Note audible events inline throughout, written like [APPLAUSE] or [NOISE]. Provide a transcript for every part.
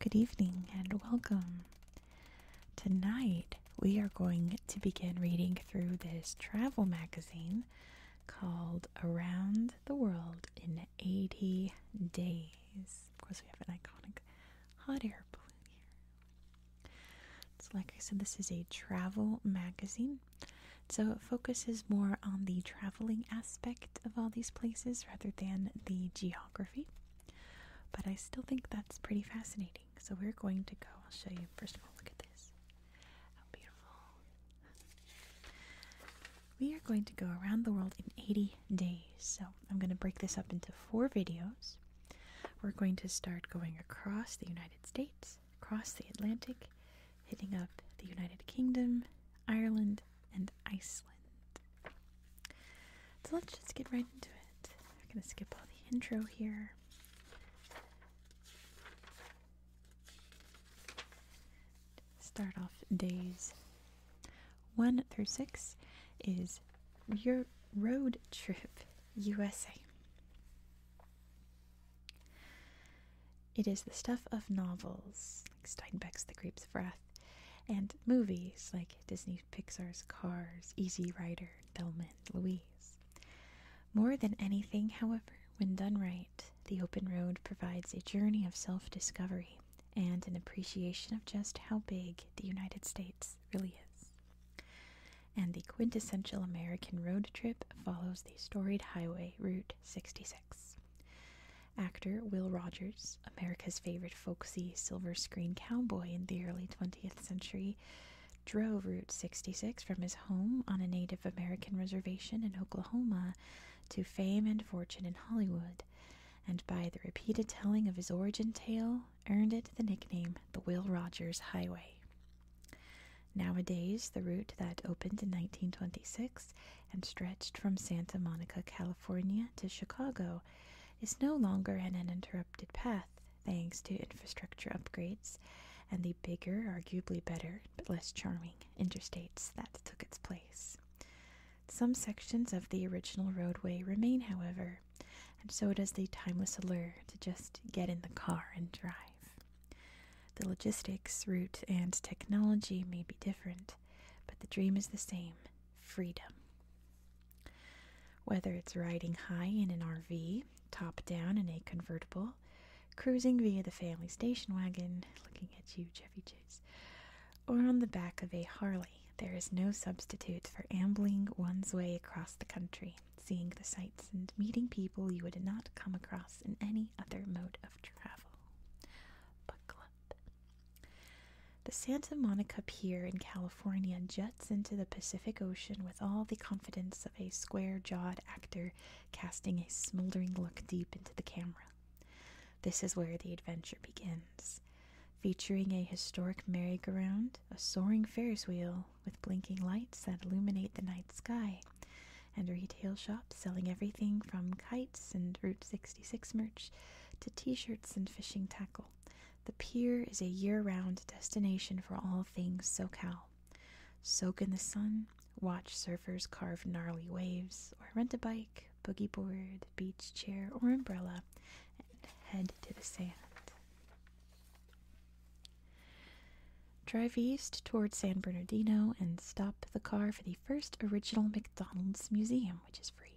Good evening and welcome. Tonight we are going to begin reading through this travel magazine called Around the World in 80 Days. Of course, we have an iconic hot air balloon here. So, like I said, this is a travel magazine. So, it focuses more on the traveling aspect of all these places rather than the geography. But I still think that's pretty fascinating. So we're going to go. I'll show you. First of all, look at this. How beautiful. We are going to go around the world in 80 days. So I'm going to break this up into four videos. We're going to start going across the United States, across the Atlantic, hitting up the United Kingdom, Ireland, and Iceland. So let's just get right into it. I'm going to skip all the intro here. Start off days 1 through 6 is your road trip USA. It is the stuff of novels like Steinbeck's The Grapes of Wrath and movies like Disney Pixar's Cars, Easy Rider, Thelma Louise. More than anything, however, when done right, the open road provides a journey of self discovery and an appreciation of just how big the United States really is. And the quintessential American road trip follows the storied highway Route 66. Actor Will Rogers, America's favorite folksy silver screen cowboy in the early 20th century, drove Route 66 from his home on a Native American reservation in Oklahoma to fame and fortune in Hollywood, and by the repeated telling of his origin tale, earned it the nickname the Will Rogers Highway. Nowadays, the route that opened in 1926 and stretched from Santa Monica, California to Chicago is no longer an uninterrupted path, thanks to infrastructure upgrades and the bigger, arguably better, but less charming interstates that took its place. Some sections of the original roadway remain, however, and so does the timeless allure to just get in the car and drive. The logistics, route, and technology may be different, but the dream is the same freedom. Whether it's riding high in an RV, top down in a convertible, cruising via the family station wagon, looking at you, Jeffy Chase, or on the back of a Harley. There is no substitute for ambling one's way across the country, seeing the sights and meeting people you would not come across in any other mode of travel. Buckle up. The Santa Monica Pier in California just into the Pacific Ocean with all the confidence of a square jawed actor casting a smoldering look deep into the camera. This is where the adventure begins. Featuring a historic merry-go-round, a soaring Ferris wheel with blinking lights that illuminate the night sky, and retail shops selling everything from kites and Route 66 merch to t shirts and fishing tackle. The pier is a year round destination for all things SoCal. Soak in the sun, watch surfers carve gnarly waves, or rent a bike, boogie board, beach chair, or umbrella and head to the sand. Drive east toward San Bernardino and stop the car for the first original McDonald's museum, which is free.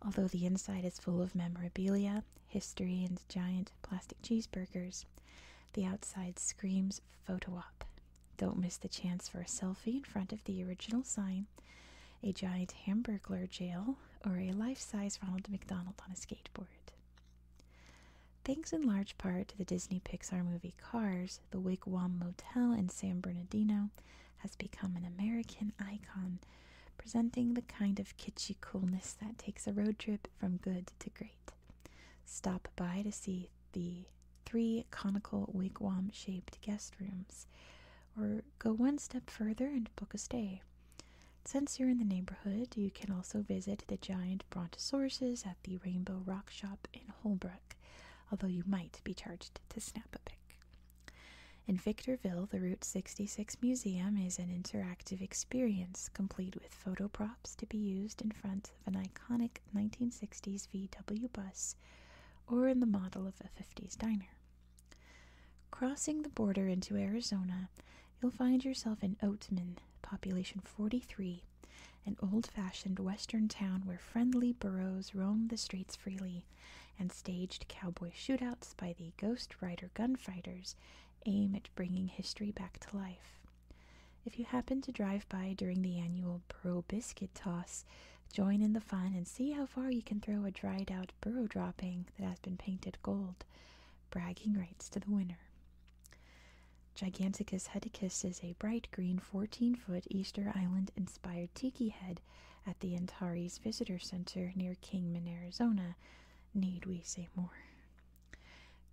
Although the inside is full of memorabilia, history and giant plastic cheeseburgers. The outside screams photo op. Don't miss the chance for a selfie in front of the original sign, a giant hamburglar jail, or a life size Ronald McDonald on a skateboard. Thanks in large part to the Disney Pixar movie Cars, the Wigwam Motel in San Bernardino has become an American icon, presenting the kind of kitschy coolness that takes a road trip from good to great. Stop by to see the three conical wigwam shaped guest rooms, or go one step further and book a stay. Since you're in the neighborhood, you can also visit the giant brontosauruses at the Rainbow Rock Shop in Holbrook, although you might be charged to snap a pic. In Victorville, the Route 66 Museum is an interactive experience complete with photo props to be used in front of an iconic 1960s VW bus or in the model of a 50s diner. Crossing the border into Arizona, you'll find yourself in Oatman, population 43, an old fashioned western town where friendly burros roam the streets freely and staged cowboy shootouts by the ghost rider gunfighters aim at bringing history back to life. If you happen to drive by during the annual Burro Biscuit Toss, join in the fun and see how far you can throw a dried out burro dropping that has been painted gold. Bragging rights to the winner. Giganticus heticus is a bright green 14 foot Easter Island inspired tiki head at the Antares Visitor Center near Kingman, Arizona. Need we say more?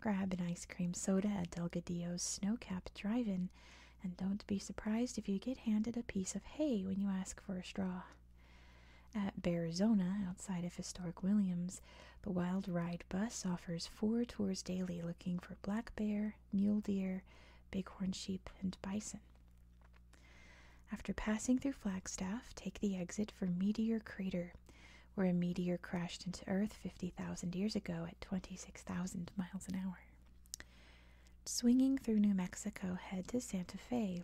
Grab an ice cream soda at Delgadillo's snow-capped drive-in, and don't be surprised if you get handed a piece of hay when you ask for a straw. At Bearzona, outside of historic Williams, the Wild Ride Bus offers four tours daily looking for black bear, mule deer, bighorn sheep, and bison. After passing through Flagstaff, take the exit for Meteor Crater, where a meteor crashed into Earth 50,000 years ago at 26,000 miles an hour. Swinging through New Mexico, head to Santa Fe,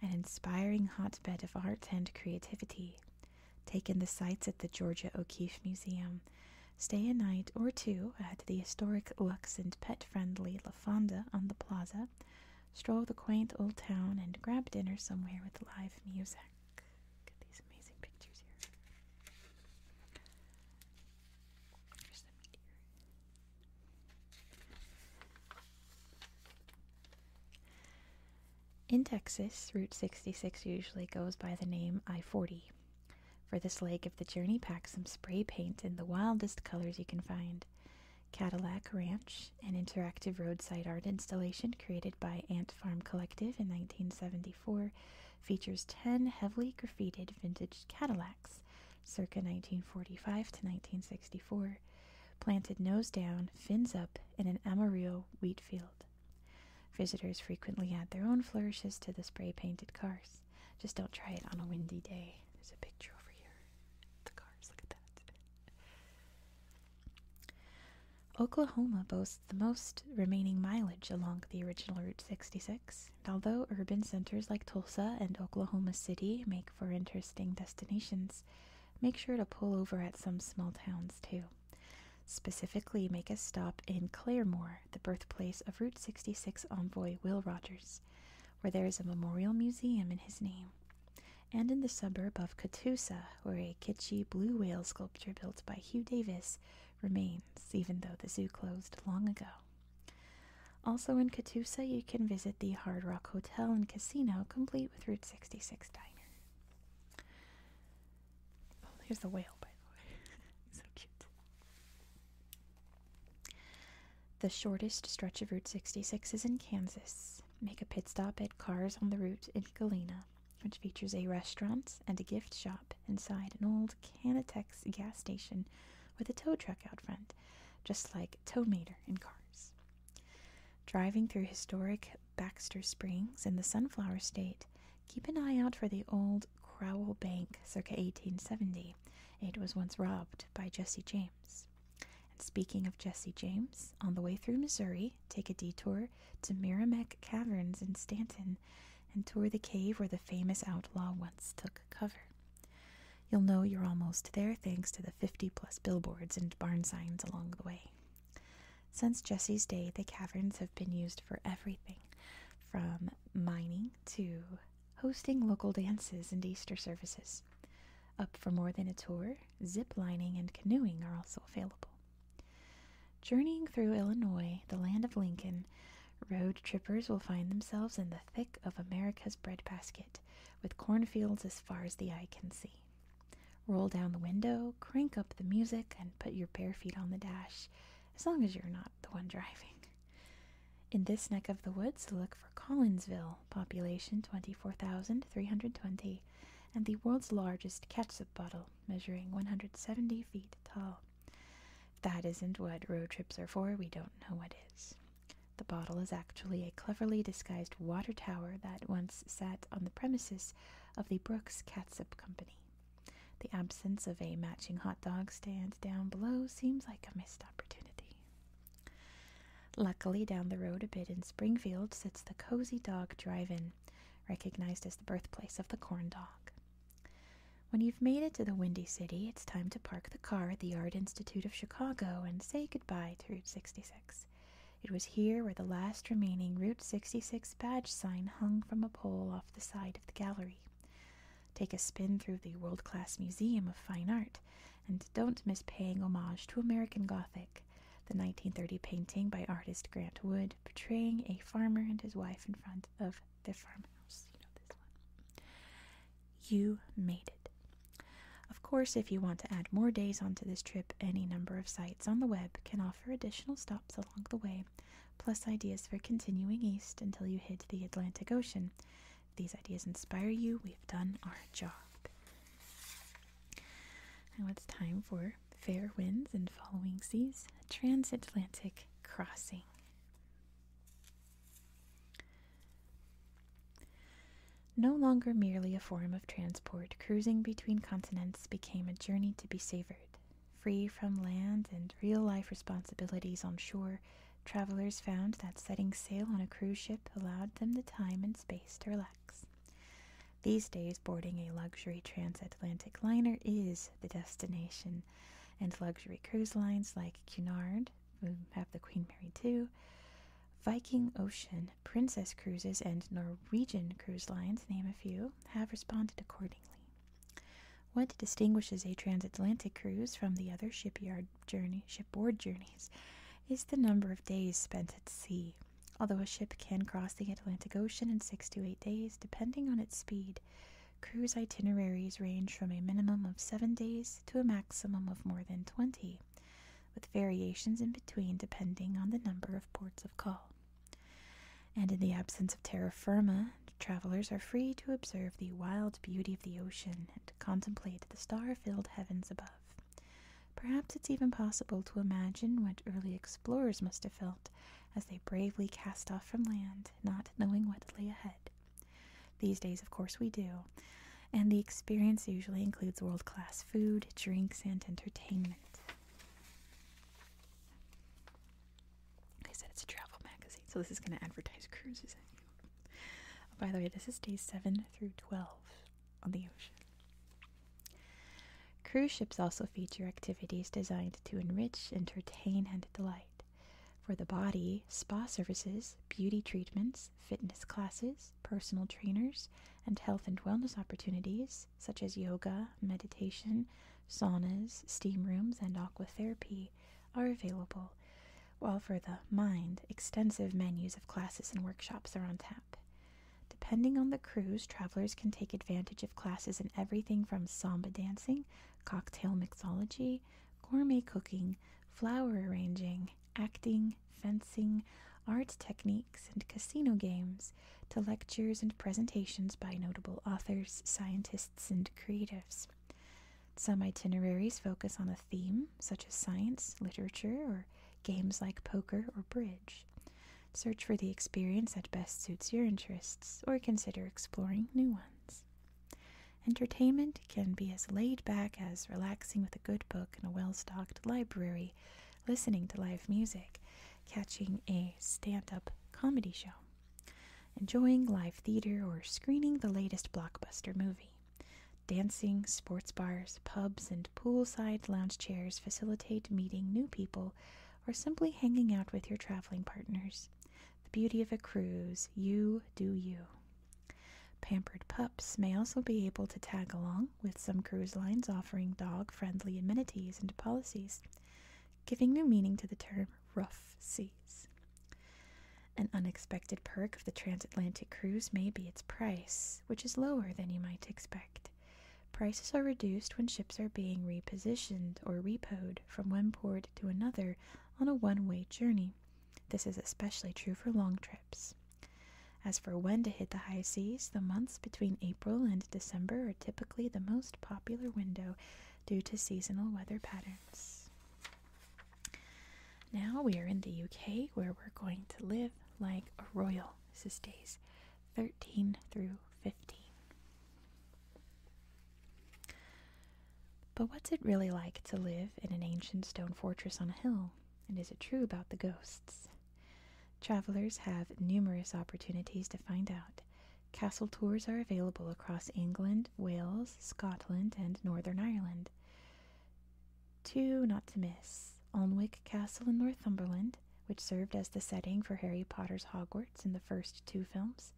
an inspiring hotbed of art and creativity. Take in the sights at the Georgia O'Keeffe Museum. Stay a night or two at the historic Lux and pet friendly La Fonda on the plaza. Stroll the quaint old town and grab dinner somewhere with live music. In Texas, Route 66 usually goes by the name I 40. For this lake, of the journey pack some spray paint in the wildest colors you can find. Cadillac Ranch, an interactive roadside art installation, created by Ant Farm Collective in 1974, features 10 heavily graffitied vintage Cadillacs, circa 1945 to 1964, planted nose down, fins up, in an Amarillo wheat field. Visitors frequently add their own flourishes to the spray painted cars. Just don't try it on a windy day. There's a picture over here. The cars, look at that. Oklahoma boasts the most remaining mileage along the original Route 66, and although urban centers like Tulsa and Oklahoma City make for interesting destinations, make sure to pull over at some small towns too. Specifically, make a stop in Claremore, the birthplace of Route 66 envoy Will Rogers, where there is a memorial museum in his name, and in the suburb of Catoosa, where a kitschy blue whale sculpture built by Hugh Davis remains, even though the zoo closed long ago. Also in Katoosa, you can visit the Hard Rock Hotel and Casino, complete with Route 66 Diner. Oh, there's the whale, by the way. [LAUGHS] so cute. The shortest stretch of Route 66 is in Kansas. Make a pit stop at Cars on the Route in Galena which features a restaurant and a gift shop inside an old Canatex gas station with a tow truck out front, just like Tow Mater in cars. Driving through historic Baxter Springs in the Sunflower State, keep an eye out for the old Crowell Bank circa 1870. It was once robbed by Jesse James. And speaking of Jesse James, on the way through Missouri, take a detour to Merrimack Caverns in Stanton and tour the cave where the famous outlaw once took cover. You'll know you're almost there thanks to the 50 plus billboards and barn signs along the way. Since Jesse's day, the caverns have been used for everything from mining to hosting local dances and Easter services. Up for more than a tour, zip lining and canoeing are also available. Journeying through Illinois, the land of Lincoln, road trippers will find themselves in the thick of America's breadbasket, with cornfields as far as the eye can see. Roll down the window, crank up the music, and put your bare feet on the dash, as long as you're not the one driving. In this neck of the woods, look for Collinsville, population 24,320, and the world's largest ketchup bottle, measuring 170 feet tall. that isn't what road trips are for, we don't know what is. The bottle is actually a cleverly disguised water tower that once sat on the premises of the Brooks Catsup Company. The absence of a matching hot dog stand down below seems like a missed opportunity. Luckily, down the road a bit in Springfield sits the Cozy Dog Drive In recognized as the birthplace of the corn dog. When you've made it to the Windy City, it's time to park the car at the Art Institute of Chicago and say goodbye to Route 66. It was here where the last remaining Route 66 badge sign hung from a pole off the side of the gallery. Take a spin through the world class Museum of Fine Art, and don't miss paying homage to American Gothic, the 1930 painting by artist Grant Wood portraying a farmer and his wife in front of the farmhouse. You made it. Of course, if you want to add more days onto this trip, any number of sites on the web can offer additional stops along the way, plus ideas for continuing east until you hit the Atlantic Ocean. these ideas inspire you. We've done our job. Now it's time for fair winds and following seas, transatlantic crossing. No longer merely a form of transport, cruising between continents became a journey to be savored. Free from land and real life responsibilities on shore, travelers found that setting sail on a cruise ship allowed them the time and space to relax. These days, boarding a luxury transatlantic liner is the destination, and luxury cruise lines like Cunard, who have the Queen Mary 2, Viking Ocean, Princess Cruises, and Norwegian Cruise Lines, name a few, have responded accordingly. What distinguishes a transatlantic cruise from the other shipyard journey, shipboard journeys is the number of days spent at sea. Although a ship can cross the Atlantic Ocean in six to eight days, depending on its speed, cruise itineraries range from a minimum of seven days to a maximum of more than 20, with variations in between depending on the number of ports of call. And in the absence of terra firma, travelers are free to observe the wild beauty of the ocean and contemplate the star filled heavens above. Perhaps it's even possible to imagine what early explorers must have felt as they bravely cast off from land, not knowing what lay ahead. These days, of course, we do, and the experience usually includes world class food, drinks, and entertainment. I said it's a travel magazine, so this is going to advertise cruises at you. Oh, by the way, this is day 7 through 12 on the ocean. Cruise ships also feature activities designed to enrich, entertain, and delight. For the body, spa services, beauty treatments, fitness classes, personal trainers, and health and wellness opportunities such as yoga, meditation, saunas, steam rooms, and aquatherapy are available, while for the mind, extensive menus of classes and workshops are on tap. Depending on the cruise, travelers can take advantage of classes in everything from samba dancing, cocktail mixology, gourmet cooking, flower arranging, acting, fencing, art techniques, and casino games, to lectures and presentations by notable authors, scientists, and creatives. Some itineraries focus on a theme, such as science, literature, or games like poker or bridge. Search for the experience that best suits your interests or consider exploring new ones. Entertainment can be as laid back as relaxing with a good book in a well stocked library, listening to live music, catching a stand up comedy show, enjoying live theater, or screening the latest blockbuster movie. Dancing, sports bars, pubs, and poolside lounge chairs facilitate meeting new people or simply hanging out with your traveling partners. The beauty of a cruise, you do you. Pampered pups may also be able to tag along, with some cruise lines offering dog friendly amenities and policies, giving new meaning to the term rough seas. An unexpected perk of the transatlantic cruise may be its price, which is lower than you might expect. Prices are reduced when ships are being repositioned or repoed from one port to another on a one way journey. This is especially true for long trips. As for when to hit the high seas, the months between April and December are typically the most popular window due to seasonal weather patterns. Now we are in the UK where we're going to live like a royal, says Days. 13 through 15. But what's it really like to live in an ancient stone fortress on a hill? And is it true about the ghosts? Travelers have numerous opportunities to find out. Castle tours are available across England, Wales, Scotland, and Northern Ireland. Two not to miss Alnwick Castle in Northumberland, which served as the setting for Harry Potter's Hogwarts in the first two films,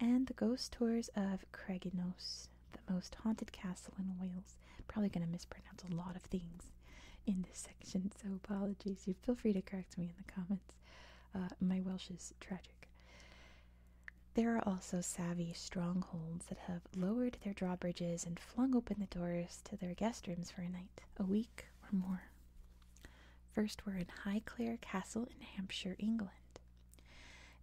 and the ghost tours of Craignos, the most haunted castle in Wales. Probably going to mispronounce a lot of things in this section, so apologies. You feel free to correct me in the comments. Uh, my Welsh is tragic. There are also savvy strongholds that have lowered their drawbridges and flung open the doors to their guest rooms for a night, a week, or more. First, we're in Highclere Castle in Hampshire, England.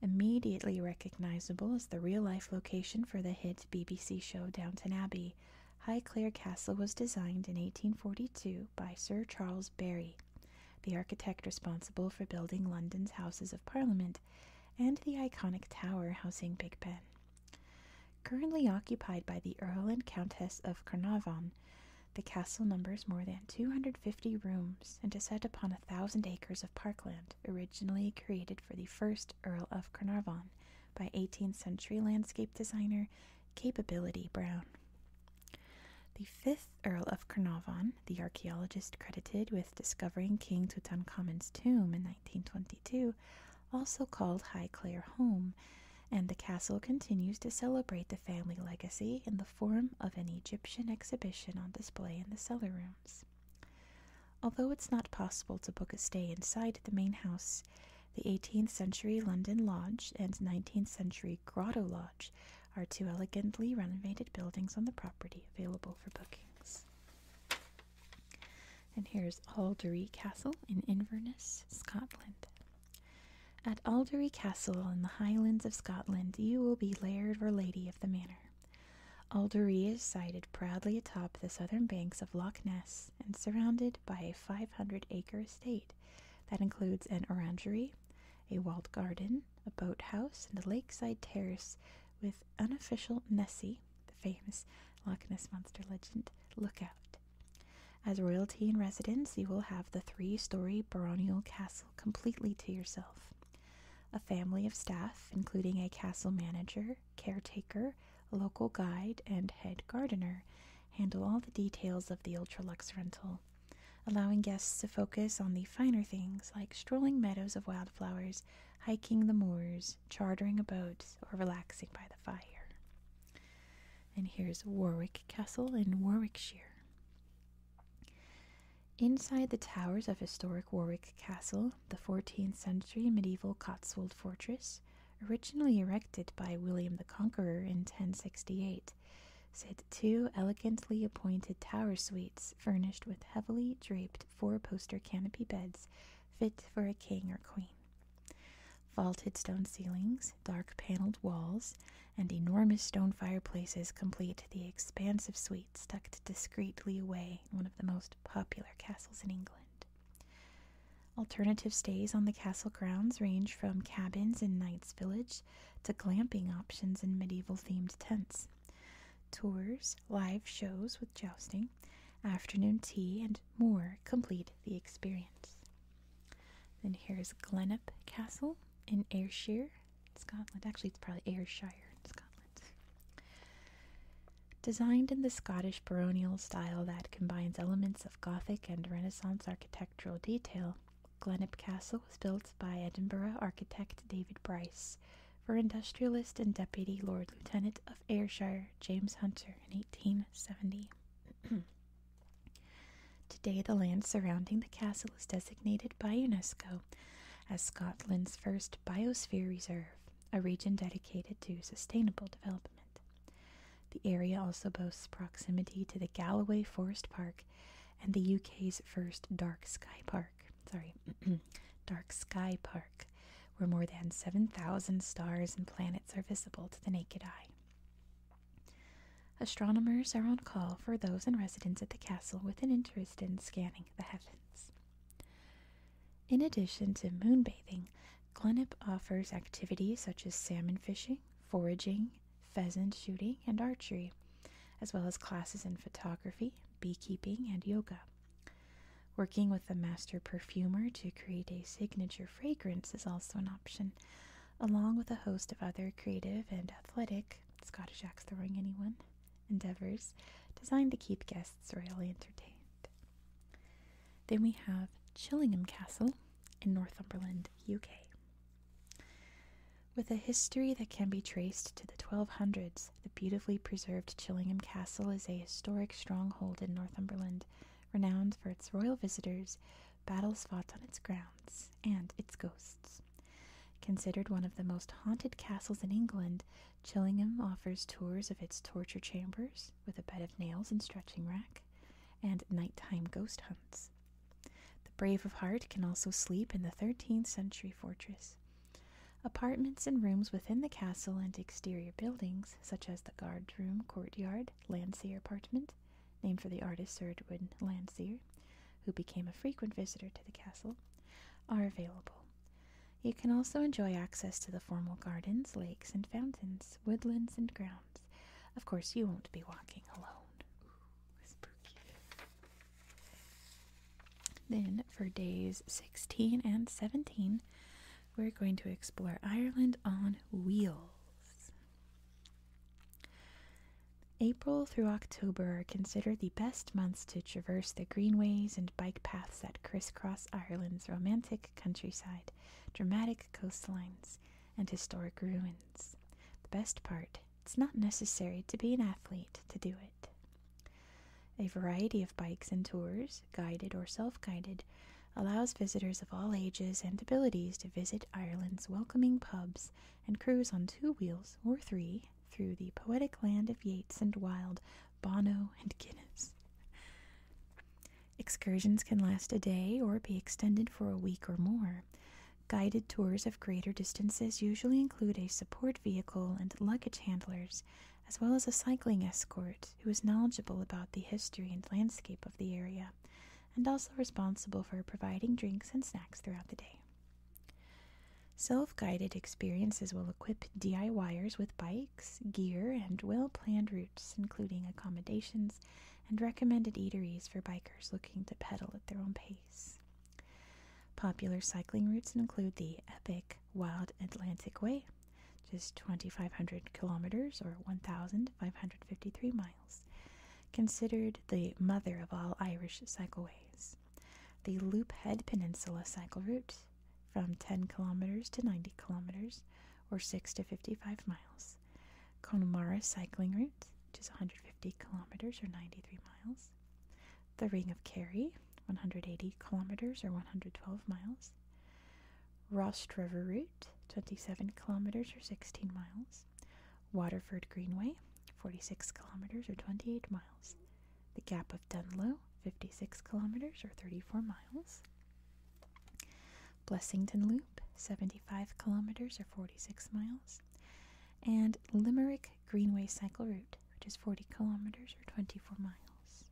Immediately recognizable as the real life location for the hit BBC show Downton Abbey, Highclere Castle was designed in 1842 by Sir Charles Barry, the architect responsible for building London's Houses of Parliament and the iconic tower housing Big Ben. Currently occupied by the Earl and Countess of Carnarvon, the castle numbers more than 250 rooms and is set upon a thousand acres of parkland, originally created for the first Earl of Carnarvon by 18th century landscape designer Capability Brown. The fifth Earl of Carnarvon, the archaeologist credited with discovering King Tutankhamun's tomb in 1922, also called Highclere home, and the castle continues to celebrate the family legacy in the form of an Egyptian exhibition on display in the cellar rooms. Although it's not possible to book a stay inside the main house, the 18th century London Lodge and 19th century Grotto Lodge are two elegantly renovated buildings on the property available for bookings. And here's Alderey Castle in Inverness, Scotland. At Aldery Castle in the Highlands of Scotland, you will be laird or lady of the manor. Aldery is sited proudly atop the southern banks of Loch Ness and surrounded by a 500 acre estate that includes an orangery, a walled garden, a boathouse, and a lakeside terrace with unofficial Nessie, the famous Loch Ness monster legend, lookout. As royalty in residence, you will have the three story baronial castle completely to yourself. A family of staff, including a castle manager, caretaker, local guide, and head gardener, handle all the details of the ultra-lux rental, allowing guests to focus on the finer things like strolling meadows of wildflowers, hiking the moors, chartering a boat, or relaxing by the fire and here's Warwick Castle in Warwickshire. Inside the towers of historic Warwick Castle, the 14th century medieval Cotswold fortress, originally erected by William the Conqueror in 1068, sit two elegantly appointed tower suites furnished with heavily draped four poster canopy beds fit for a king or queen. Vaulted stone ceilings, dark paneled walls, and enormous stone fireplaces complete the expansive suite, tucked discreetly away in one of the most popular castles in England. Alternative stays on the castle grounds range from cabins in Knight's Village to glamping options in medieval themed tents. Tours, live shows with jousting, afternoon tea, and more complete the experience. Then here's Glenup Castle in Ayrshire, Scotland. Actually, it's probably Ayrshire in Scotland. Designed in the Scottish baronial style that combines elements of Gothic and Renaissance architectural detail, Glenup Castle was built by Edinburgh architect David Bryce for industrialist and deputy Lord Lieutenant of Ayrshire James Hunter in 1870. [CLEARS THROAT] Today, the land surrounding the castle is designated by UNESCO as Scotland's first biosphere reserve, a region dedicated to sustainable development. The area also boasts proximity to the Galloway Forest Park and the UK's first dark sky park. Sorry, [CLEARS THROAT] dark sky park, where more than 7,000 stars and planets are visible to the naked eye. Astronomers are on call for those in residence at the castle with an interest in scanning the heavens. In addition to moon bathing, Glenip offers activities such as salmon fishing, foraging, pheasant shooting, and archery, as well as classes in photography, beekeeping, and yoga. Working with a master perfumer to create a signature fragrance is also an option, along with a host of other creative and athletic Scottish axe throwing anyone endeavors designed to keep guests royally entertained. Then we have Chillingham Castle in Northumberland, UK. With a history that can be traced to the 1200s, the beautifully preserved Chillingham Castle is a historic stronghold in Northumberland, renowned for its royal visitors battles fought on its grounds, and its ghosts. Considered one of the most haunted castles in England, Chillingham offers tours of its torture chambers with a bed of nails and stretching rack, and nighttime ghost hunts. The brave of heart can also sleep in the 13th century fortress. Apartments and rooms within the castle and exterior buildings, such as the guard room, courtyard, Landseer apartment, named for the artist Sir Edwin Landseer, who became a frequent visitor to the castle, are available. You can also enjoy access to the formal gardens, lakes, and fountains, woodlands, and grounds. Of course, you won't be walking alone. Then, for days 16 and 17, we're going to explore Ireland on wheels. April through October are considered the best months to traverse the greenways and bike paths that crisscross Ireland's romantic countryside, dramatic coastlines, and historic ruins. The best part, it's not necessary to be an athlete to do it. A variety of bikes and tours, guided or self guided, allows visitors of all ages and abilities to visit Ireland's welcoming pubs and cruise on two wheels or three through the poetic land of Yeats and Wilde, Bono and Guinness. Excursions can last a day or be extended for a week or more. Guided tours of greater distances usually include a support vehicle and luggage handlers, as well as a cycling escort who is knowledgeable about the history and landscape of the area and also responsible for providing drinks and snacks throughout the day. Self guided experiences will equip DIYers with bikes, gear, and well planned routes, including accommodations and recommended eateries for bikers looking to pedal at their own pace. Popular cycling routes include the epic Wild Atlantic Way, just 2,500 kilometers or 1,553 miles, considered the mother of all Irish cycleways. The Loop Head Peninsula cycle route, from 10 kilometers to 90 kilometers, or 6 to 55 miles. Connemara cycling route, which is 150 kilometers or 93 miles. The Ring of Kerry, 180 kilometers or 112 miles. Ross River route, 27 kilometers or 16 miles. Waterford Greenway, 46 kilometers or 28 miles. The Gap of Dunlow, 56 kilometers or 34 miles. Blessington Loop, 75 kilometers or 46 miles. And Limerick Greenway Cycle Route, which is 40 kilometers or 24 miles.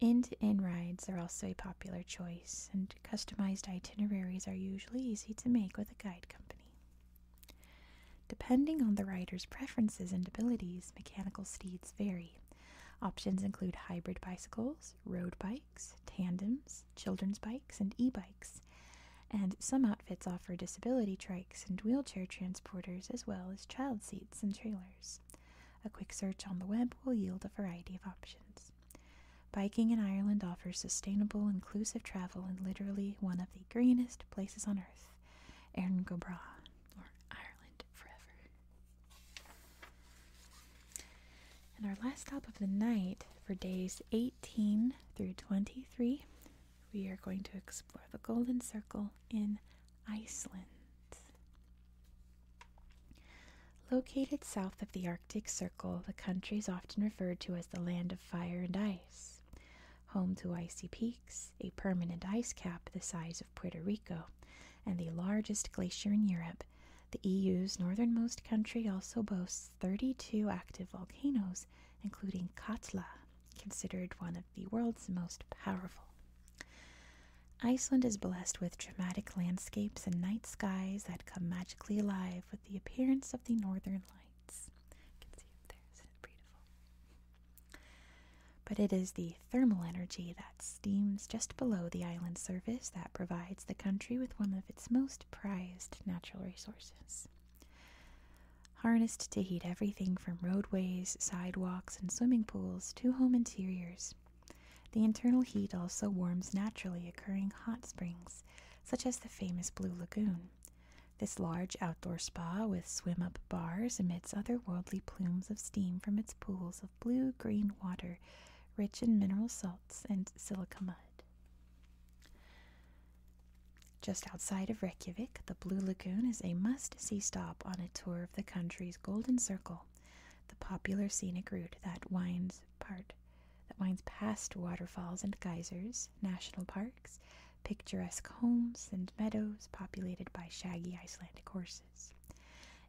End to end rides are also a popular choice and customized itineraries are usually easy to make with a guide company. Depending on the rider's preferences and abilities, mechanical steeds vary. Options include hybrid bicycles, road bikes, tandems, children's bikes, and e bikes. And some outfits offer disability trikes and wheelchair transporters, as well as child seats and trailers. A quick search on the web will yield a variety of options. Biking in Ireland offers sustainable, inclusive travel in literally one of the greenest places on earth, Erin or Ireland Forever. And our last stop of the night for days 18 through 23, we are going to explore the Golden Circle in Iceland. Located south of the Arctic Circle, the country is often referred to as the Land of Fire and Ice. Home to icy peaks, a permanent ice cap the size of Puerto Rico, and the largest glacier in Europe, the EU's northernmost country also boasts 32 active volcanoes, including Katla, considered one of the world's most powerful. Iceland is blessed with dramatic landscapes and night skies that come magically alive with the appearance of the northern lights. But it is the thermal energy that steams just below the island surface that provides the country with one of its most prized natural resources. Harnessed to heat everything from roadways, sidewalks, and swimming pools to home interiors. The internal heat also warms naturally occurring hot springs, such as the famous Blue Lagoon. This large outdoor spa with swim up bars emits otherworldly plumes of steam from its pools of blue green water, rich in mineral salts and silica mud. Just outside of Reykjavik, the Blue Lagoon is a must see stop on a tour of the country's Golden Circle, the popular scenic route that winds part that winds past waterfalls and geysers, national parks, picturesque homes and meadows populated by shaggy Icelandic horses.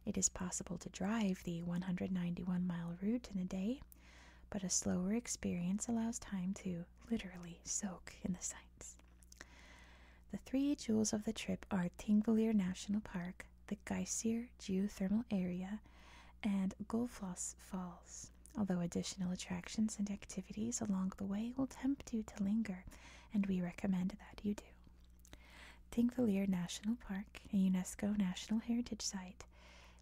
It is possible to drive the 191 mile route in a day, but a slower experience allows time to literally soak in the sights. The three jewels of the trip are Tingvellir National Park, the Geysir Geothermal Area, and Gullfoss Falls although additional attractions and activities along the way will tempt you to linger, and we recommend that you do. Tingvellir National Park, a UNESCO National Heritage Site,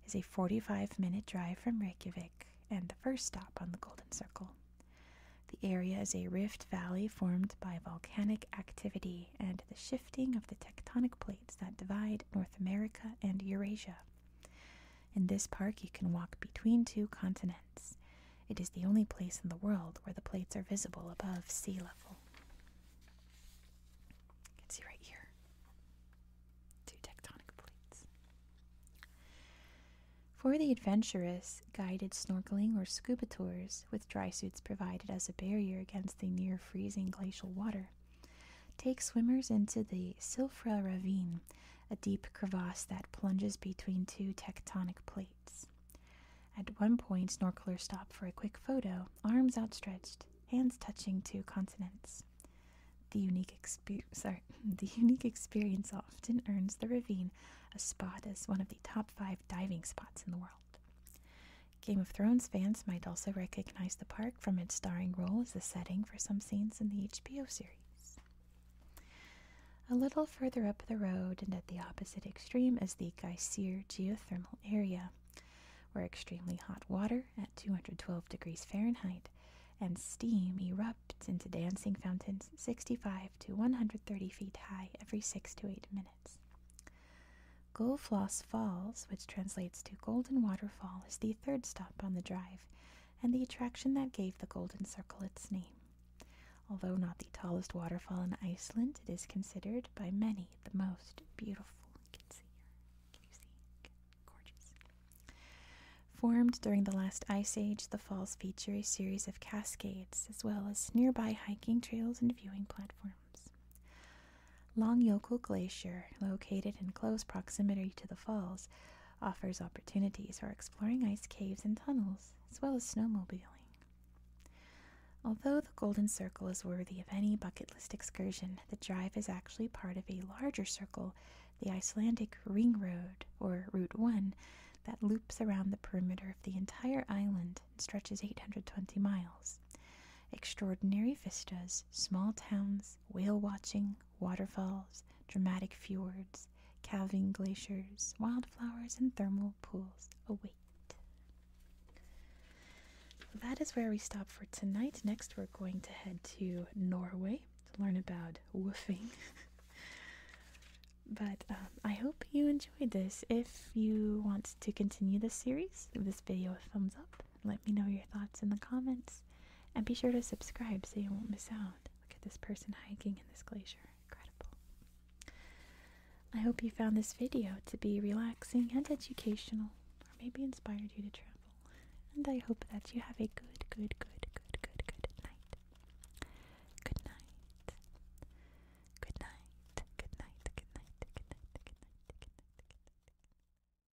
is a 45 minute drive from Reykjavik and the first stop on the Golden Circle. The area is a rift valley formed by volcanic activity and the shifting of the tectonic plates that divide North America and Eurasia. In this park, you can walk between two continents. It is the only place in the world where the plates are visible above sea level. You can see right here two tectonic plates. For the adventurous, guided snorkeling or scuba tours, with dry suits provided as a barrier against the near freezing glacial water. Take swimmers into the Silfra Ravine, a deep crevasse that plunges between two tectonic plates. At one point, snorkelers stop for a quick photo, arms outstretched, hands touching two continents. The unique, [LAUGHS] the unique experience often earns the ravine a spot as one of the top five diving spots in the world. Game of Thrones fans might also recognize the park from its starring role as the setting for some scenes in the HBO series. A little further up the road and at the opposite extreme is the Geysir geothermal area, where extremely hot water at 212 degrees Fahrenheit and steam erupts into dancing fountains 65 to 130 feet high every 6 to 8 minutes. Goldfloss Falls, which translates to Golden Waterfall, is the third stop on the drive and the attraction that gave the Golden Circle its name. Although not the tallest waterfall in Iceland, it is considered by many the most beautiful. You can see Can you see? Gorgeous. Formed during the last ice age, the falls feature a series of cascades as well as nearby hiking trails and viewing platforms. Long Yokul Glacier, located in close proximity to the falls, offers opportunities for exploring ice caves and tunnels, as well as snowmobiling. Although the Golden Circle is worthy of any bucket list excursion, the drive is actually part of a larger circle, the Icelandic Ring Road, or Route 1, that loops around the perimeter of the entire island and stretches 820 miles. Extraordinary vistas, small towns, whale watching, waterfalls, dramatic fjords, calving glaciers, wildflowers, and thermal pools await. that is where we stop for tonight. Next, we're going to head to Norway to learn about woofing. [LAUGHS] but um, I hope you enjoyed this. If you want to continue this series, give this video a thumbs up. Let me know your thoughts in the comments and be sure to subscribe so you won't miss out. Look at this person hiking in this glacier. Incredible. I hope you found this video to be relaxing and educational or maybe inspired you to travel. And I hope that you have a good, good, good, good, good, good night. Good night. Good night. Good night. Good night. Good night. Good night. Good night. Good night.